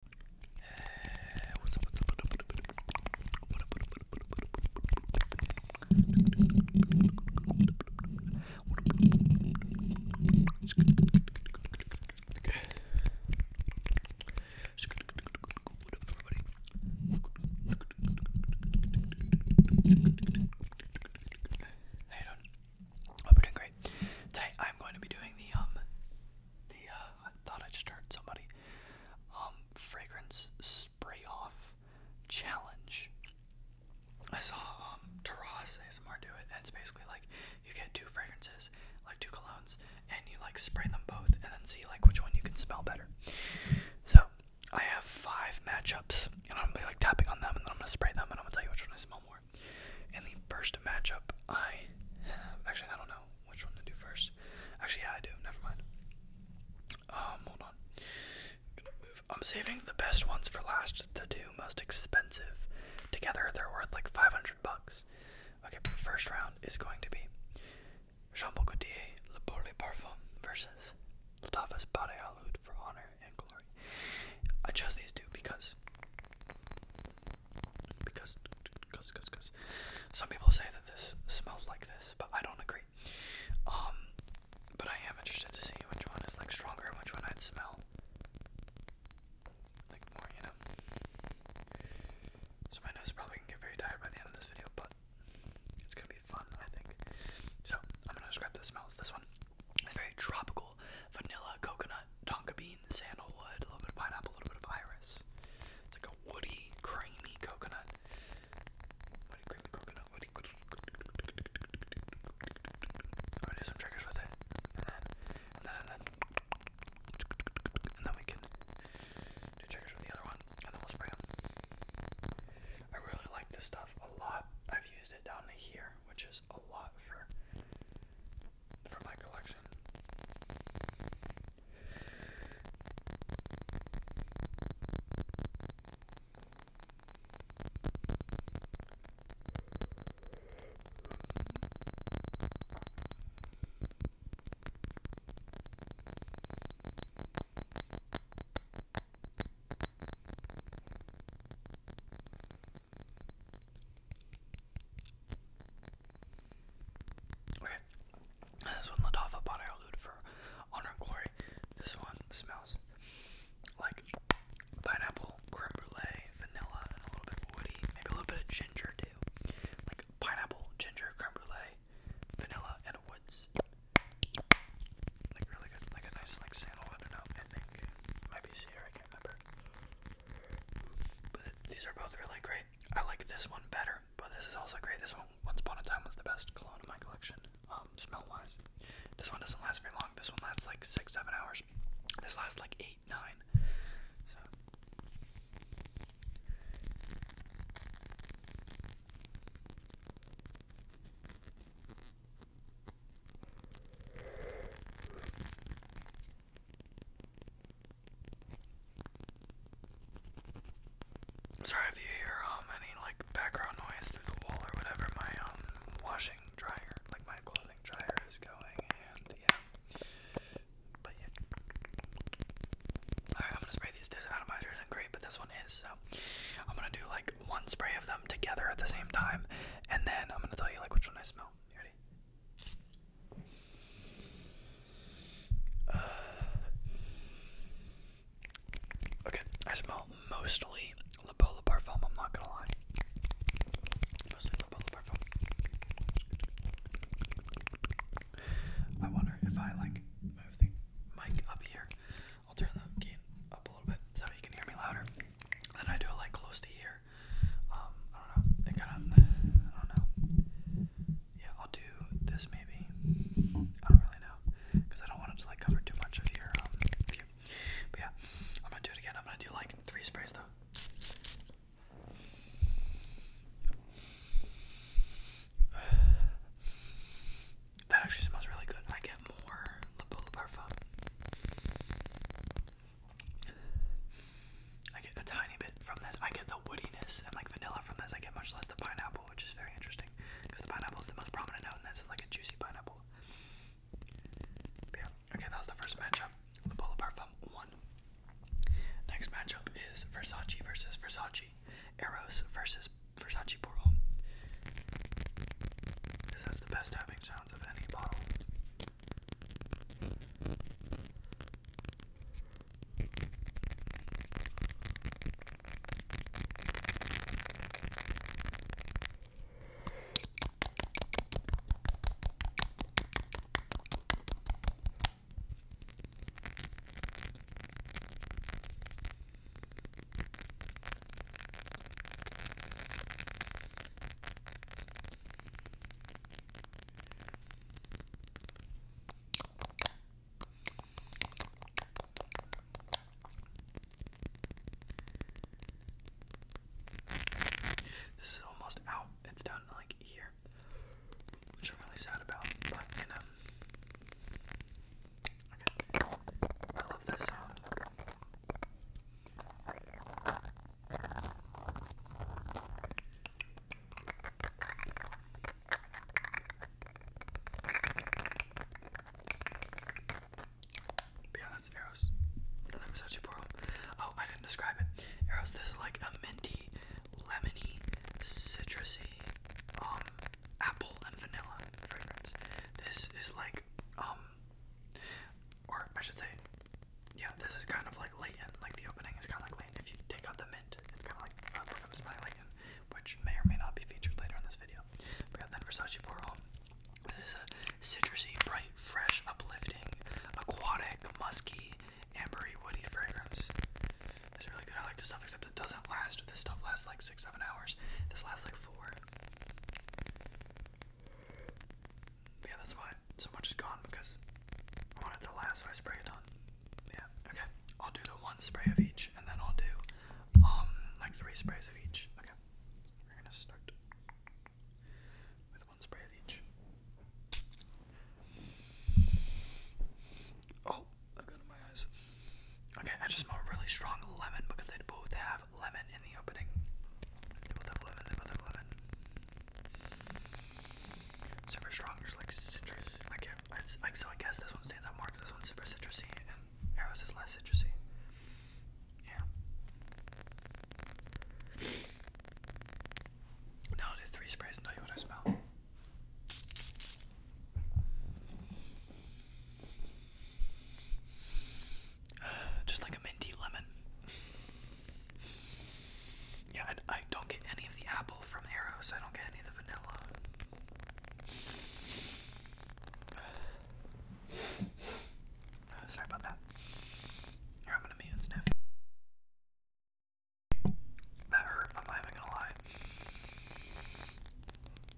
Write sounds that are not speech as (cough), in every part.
Hey, what's up, what's up? Hey, I hope you're doing Today I'm going to be doing the um the uh, I thought I just heard somebody um fragrance spray off challenge. I saw um Taras ASMR do it and it's basically like you get two fragrances, like two colognes, and you like spray them both and then see like which one you can smell better. So I have five matchups and I'm gonna be like tapping on them and then I'm gonna spray them and I'm gonna tell you which one I smell more more. the first matchup I actually, I don't know which one to do first. Actually, yeah, I do. Never mind. Um, hold on. I'm, saving the best ones for last. The two most expensive. Together, they're worth like 500 bucks. Okay, first round is going to be Jean-Paul Gaultier, Le Bourrelet Parfum versus Latafas Bade Aloud for honor and glory. I chose these two because because because because because some people say that this smells like this, but I don't agree. Um, but I am interested to see which one is like stronger and which one I'd smell like more, you know. So my nose probably can get very tired by the end of this video, but it's gonna be fun, I think. So I'm gonna describe the smells. This one is very tropical, vanilla, coconut, tonka bean sandalwood, a little bit of pineapple, a little bit of iris. It's like a woody, creamy coconut. Woody, creamy coconut. I'm gonna do some triggers with it, and then, and then, and then, and then we can do triggers with the other one, and then we'll spray them. I really like this stuff a lot. I've used it down to here, which is a lot for from my collection. Okay. This one, Ladafa Body Elude for Honor and Glory. This one smells like pineapple, creme brulee, vanilla, and a little bit woody. Maybe a little bit of ginger too. Like pineapple, ginger, creme brulee, vanilla, and a woods. Like really good. Like a nice like sandalwood. I don't know. I think. Might be I can't remember. But these are both really great. I like this one better, but this is also great. This one, Once Upon a Time, was the best cologne in my collection, um, smell wise. This one doesn't last very long. This one lasts like six, seven hours. This lasts like eight, nine. So. Sorry if you hear um any like background noise through the wall or whatever. My um washing dryer, like my clothing dryer, is going, But yeah. Alright, I'm gonna spray these. This atomizer isn't great, but this one is. So I'm gonna do like one spray of them together at the same time, and then I'm gonna tell you like which one I smell. ready? (sighs) okay, I smell mostly La Bola Parfum, I'm not gonna lie. Mostly La Bola Parfum. I wonder if I like move the mic up here. I'll turn the gain up a little bit so you can hear me louder. And I do like close to here. Um, I don't know. Yeah, I'll do this maybe. I don't really know. Because I don't want it to like cover too much of your um, view. But yeah, I'm going to do it again. I'm going to do like three sprays though. (sighs) That actually smells really good. I more La Bola Parfum. I get a tiny bit from this. I get the woodiness and like vanilla from this. I get much less the pineapple, which is very interesting because the pineapple is the most prominent note, and this is like a juicy pineapple. Okay, that was the first matchup. La Bola Parfum won. Next matchup is Versace versus Versace. Eros versus Versace Puro. This has the best tapping sound sounds of any bottle. This is almost out. It's down to like here, which I'm really sad about. But you know, this yeah, that's arrows. And then Versace Pearl. Oh, I didn't describe it. Arrows, this is like a minty, lemony, citrusy, um, apple and vanilla fragrance. This is like um, or I should say, yeah, this is kind of like latent, like the opening is kind of like latent. If you take out the mint, it's kind of like uh, Perfumes by Latent, which may or may not be featured later in this video. We got then Versace Pour This is a citrusy, bright, fresh, uplifting, aquatic, musky, ambery, woody fragrance. It's really good. I like this stuff, except it doesn't last. This stuff lasts like six, seven hours. This lasts like yeah, that's why so much is gone because I wanted it to last, so I spray it on. Yeah, okay. I'll do the one spray of each, and then I'll do um like three sprays of each. Okay, we're gonna start with one spray of each. Oh, I got in my eyes. Okay, I just smell really strong lemon because they both have lemon in the opening. Super strong, there's like citrus. Like, like so I guess this one stands out more this one's super citrusy and Arrows is less citrusy. Yeah. Now do three sprays and tell you what I smell. (sighs) Just like a minty lemon. Yeah, I don't get any of the apple from Arrows. I don't get any of the vanilla. (sighs) Uh, sorry about that. Here, I'm gonna mute and sniff. That hurt. I'm not even gonna lie.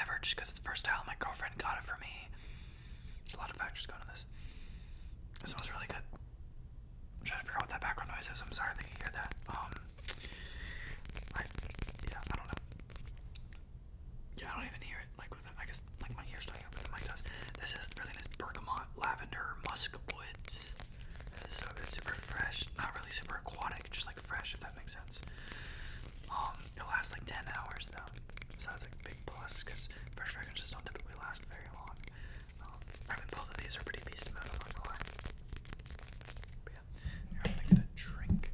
ever just because it's first time My girlfriend got it for me. a lot of factors going on this. It smells really good. trying to figure out what that background noise is. I'm sorry that you hear that. Um, yeah, I don't know. Yeah, I don't even hear it. Like, with, I guess, like my ears don't hear my does. This is really nice bergamot, lavender, musk woods. So good, super fresh. Not really super aquatic, just like fresh that makes sense. Um, it lasts like 10 hours though, so that's a big plus because fresh fragrances don't typically last very long. Um, I mean, both of these are pretty beast mode, I'm not But yeah, I'm gonna get a drink.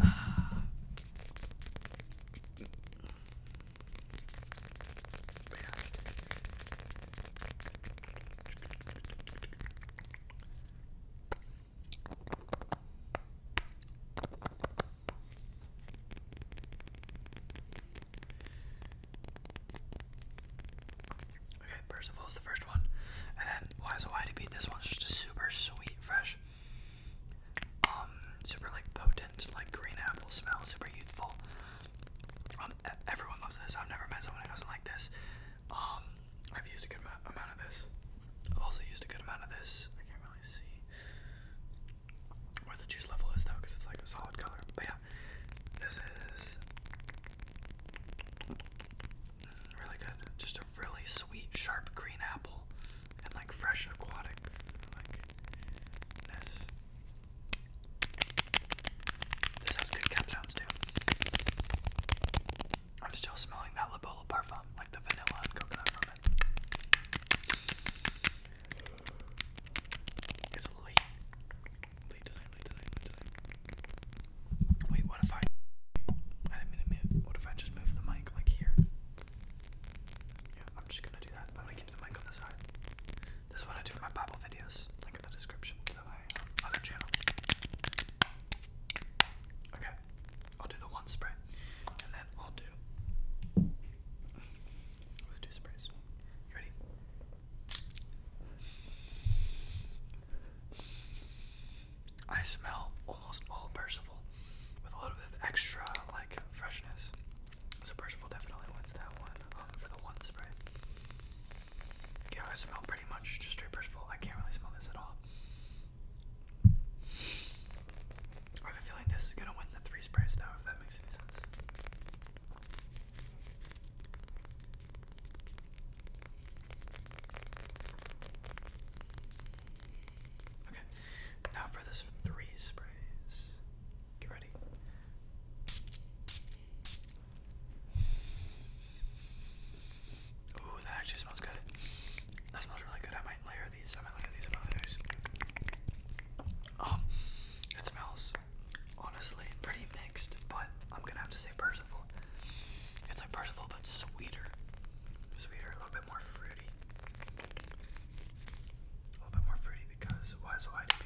Ah. But yeah. Okay, the first one. And then Why this one's just super sweet, fresh. Um, super like potent like green apple smell, super youthful. Um, everyone loves this. I've never met someone who doesn't like this. Um, I've used a good amount of this. i also used a good amount of this. I can't really see where the juice level is though, because it's like a solid color. But yeah, this is really good. Just a really sweet, sharp green apple, and like fresh aquatic, like this has good cap too. I'm still smelling that labella perfume, like the vanilla and coconut It's late. Late tonight, late tonight, late tonight. Wait, what if I. I didn't What if I just move the mic like here? Yeah, I'm just gonna do that. I'm gonna keep the mic on the side. This is what I do for my Bible videos. Link in the description other channel. Okay, I'll do the one spray, and then I'll do the two sprays. ready? I smell almost all Percival with a little bit of extra like freshness. So Percival definitely wants that one um, for the one spray. Yeah, I smell pretty much just straight Percival. I can't really smell this at all. I have a feeling this is gonna win the three sprays though, if that makes any sense. Okay, now for this three sprays. Get ready. Ooh, that actually smells good. That smells really good. I might layer these. I might layer these. I um, it smells honestly pretty mixed, but I'm gonna have to say Percival. It's like Percival, but sweeter. Sweeter, a little bit more fruity. A little bit more fruity because YSYDP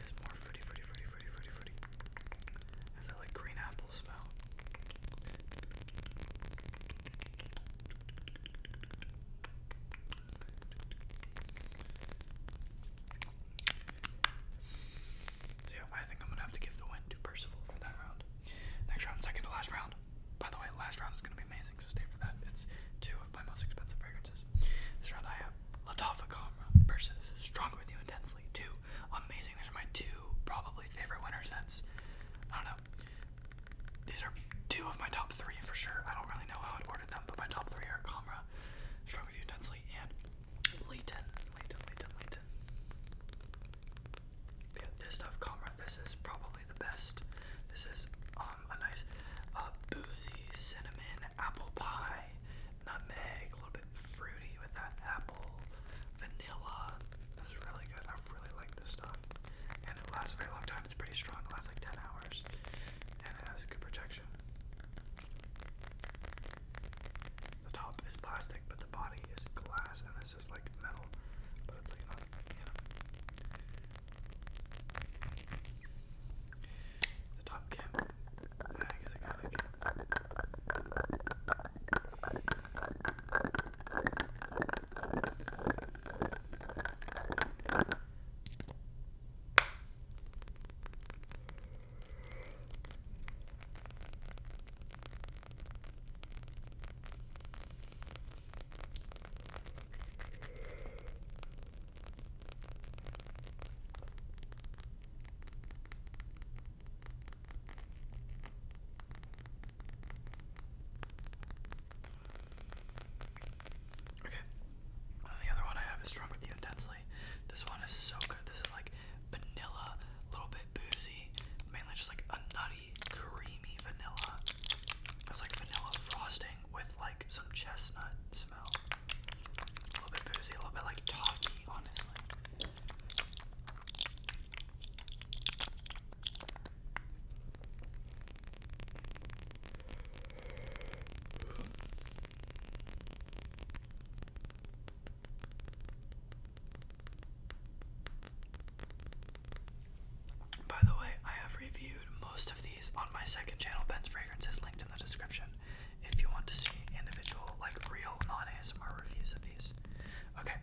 is more fruity, fruity, fruity, fruity, fruity, fruity. Has that like green apple smell. yeah, I think I'm gonna have to give the win to Percival for that round. Next round, second to last round. By the way, last round is gonna be amazing amazing, so stay for that. It's two of my most expensive fragrances. This round I have Latafa Camra versus Strong With You Intensely. Two amazing. These are my two probably favorite winter scents. I don't know. These are two of my top three for sure. I don't really know how I'd them, but my top three are Camra, Strong With You Intensely, and Leighton. Leighton, Leighton, Leighton. this stuff, Camra, this is probably the best. This is um, a nice uh, boozy cinnamon apple pie, nutmeg, a little bit fruity with that apple, vanilla. This is really good. I really like this stuff, and it lasts a very long time. It's pretty strong. It lasts like ten hours, and it has good projection. The top is plastic, but the body is glass, and this is like metal. But it's like not, you know. The top can. Yeah, I guess I got it. Okay. Uh, the other one I have is Strong With You Intensely. This one is so good. This is like vanilla, a little bit boozy, mainly just like a nut creamy vanilla. It's like vanilla frosting with like some chestnut smell. A little bit boozy, a little bit like toffee, honestly. By the way, I have reviewed most of these on my second channel, Ben's Fragrances, linked in the description, if you want to see individual, like real non-ASMR reviews of these. Okay,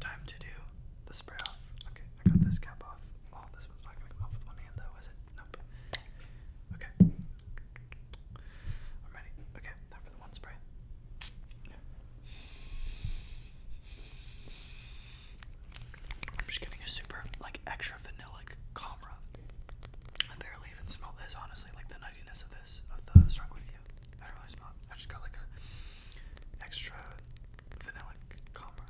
time to do the spray off. Okay, I got this cap off. Oh, this one's not going off with one hand though, is it? Nope. Okay. I'm ready. Okay, time for the one spray. I'm just getting a super, like, extra vanillic camera. I barely even smell this, honestly. Like, the nuttiness of this, of the Strong With You. I don't really smell I just got, like, a extra vanillic camera.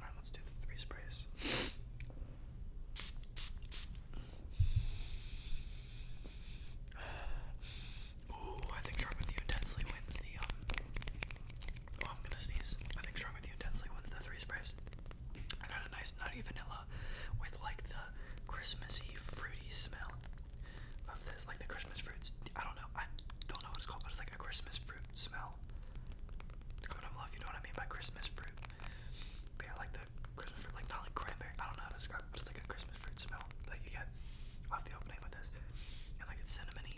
Alright, let's do the three sprays. (sighs) (sighs) Ooh, I think Strong With You intensely wins the, um, oh, I'm gonna sneeze. I think Strong With You intensely wins the three sprays. I got a nice nutty vanilla with, like, the Christmassy, fruity smell of this. Like, the Christmas fruits, I don't know, I don't know what it's called, but it's like a Christmas fruit smell. Comment down below if you know what I mean by Christmas fruit. But like the Christmas fruit, like not like cranberry, I don't know how to describe it's like a Christmas Christmas fruit smell that you get off the opening with this. And like it's cinnamony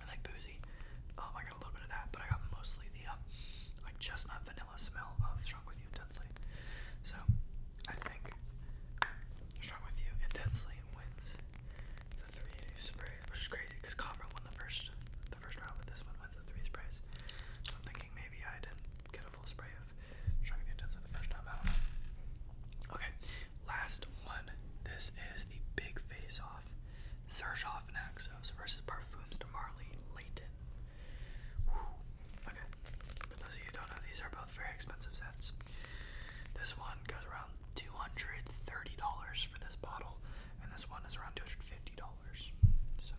and like boozy. Um, I got a little bit of that, but I got mostly the um, like chestnut vanilla smell of Strong With You Intensely. So I think Strong With You Intensely wins the three sprays, which is crazy because Comra won the first the first round, but this one wins the three sprays. So I'm thinking maybe I didn't get Okay, last one. This is the big face off. Surgeoff and versus Parfums de Marley Leighton. Okay, for those of you don't know, these are both very expensive sets. This one goes around $230 for this bottle, and this one is around $250. So.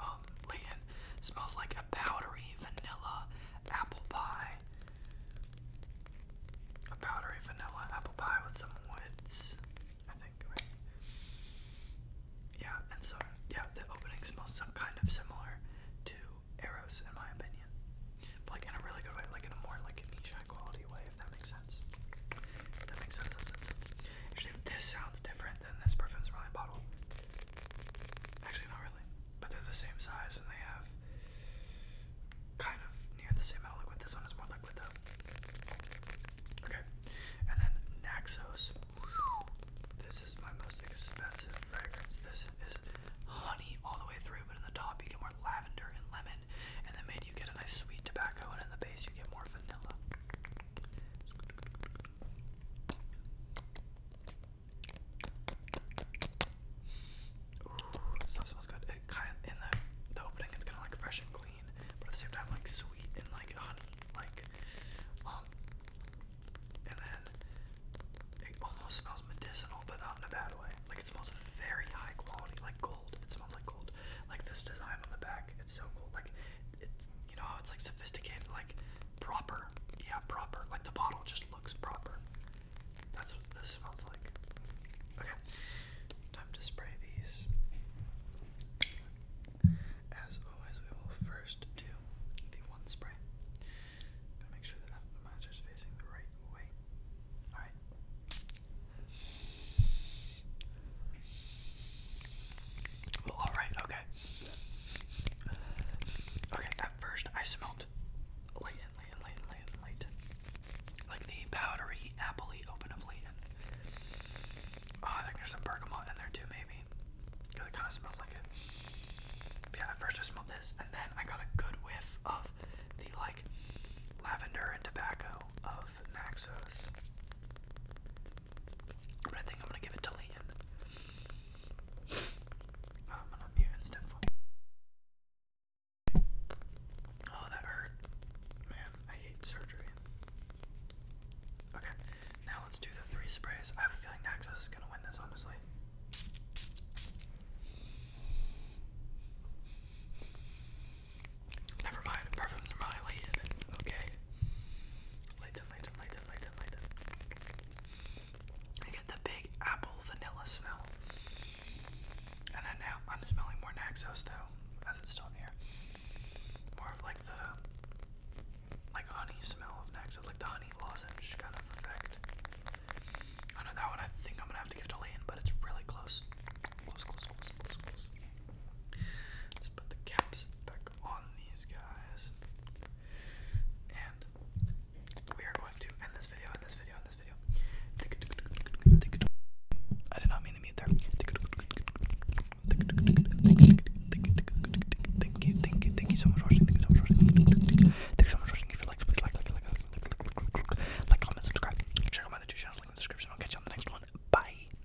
Um, oh, Layton smells like powdery vanilla apple pie. A powdery vanilla apple pie with some woods, I think, Yeah, and so, yeah, the opening smells some kind of similar to Eros, in my opinion. like, in a really good way, like, in a more, like, niche high quality way, if that makes sense. that makes sense, this sounds different then this perfume's probably bottled. Actually, not really. But they're the same size and they have kind of near the same amount of liquid. This one is more liquid though. Okay. And then Naxos. This is my most expensive fragrance. This is honey all the way through, but in the top you get more lavender and lemon, and the mid you get a nice sweet tobacco, and in the base you get more vanilla. Ooh, so smells good. It kind of, in the, the opening, it's kind of like fresh and clean, but at the same time, like sweet and like honey, like um. And then it almost smells medicinal, but not in a bad way. Like it smells very high quality, like gold. It smells like gold. Like this design on the back, it's so cool. Like it's you know it's like sophisticated, like proper. Yeah, proper. Like the bottle just looks proper. That's what this smells like. Okay, time to spray these. As always, we will first do the one spray. Gotta make sure the atomizer is facing the right way. Alright. Well, all right, okay. Okay, at first I smelled light and light and light and light Like the powdery, appley open of oh, I think there's some bergamot in there too, maybe. it kind of smells like it. yeah, at first I smelled this, and then I got a good whiff of the like lavender and tobacco of Naxos. I think I'm gonna give it to Liam. Um, I'm gonna mute instead Oh, that hurt. Man, I hate surgery. Okay, now let's do the three sprays. I have a feeling Naxos is gonna win this, honestly. Never mind, perfumes are really late Okay. I get the big apple vanilla smell. And then now I'm smelling more Naxos though, as it's still in here. More of like the like honey smell of Naxos, like the honey lozenge kind of effect. I know that one I think I'm gonna have to give to Leighton, but it's really close. Let's put the caps back I did not mean to meet there. Thank you, thank you, thank you so much for watching. Thank you so much for watching. Thank you so much for watching. If you like, please like, like, like, like, like, comment, subscribe. Check out my other two channels, link in the description. I'll catch you on the next one. Bye.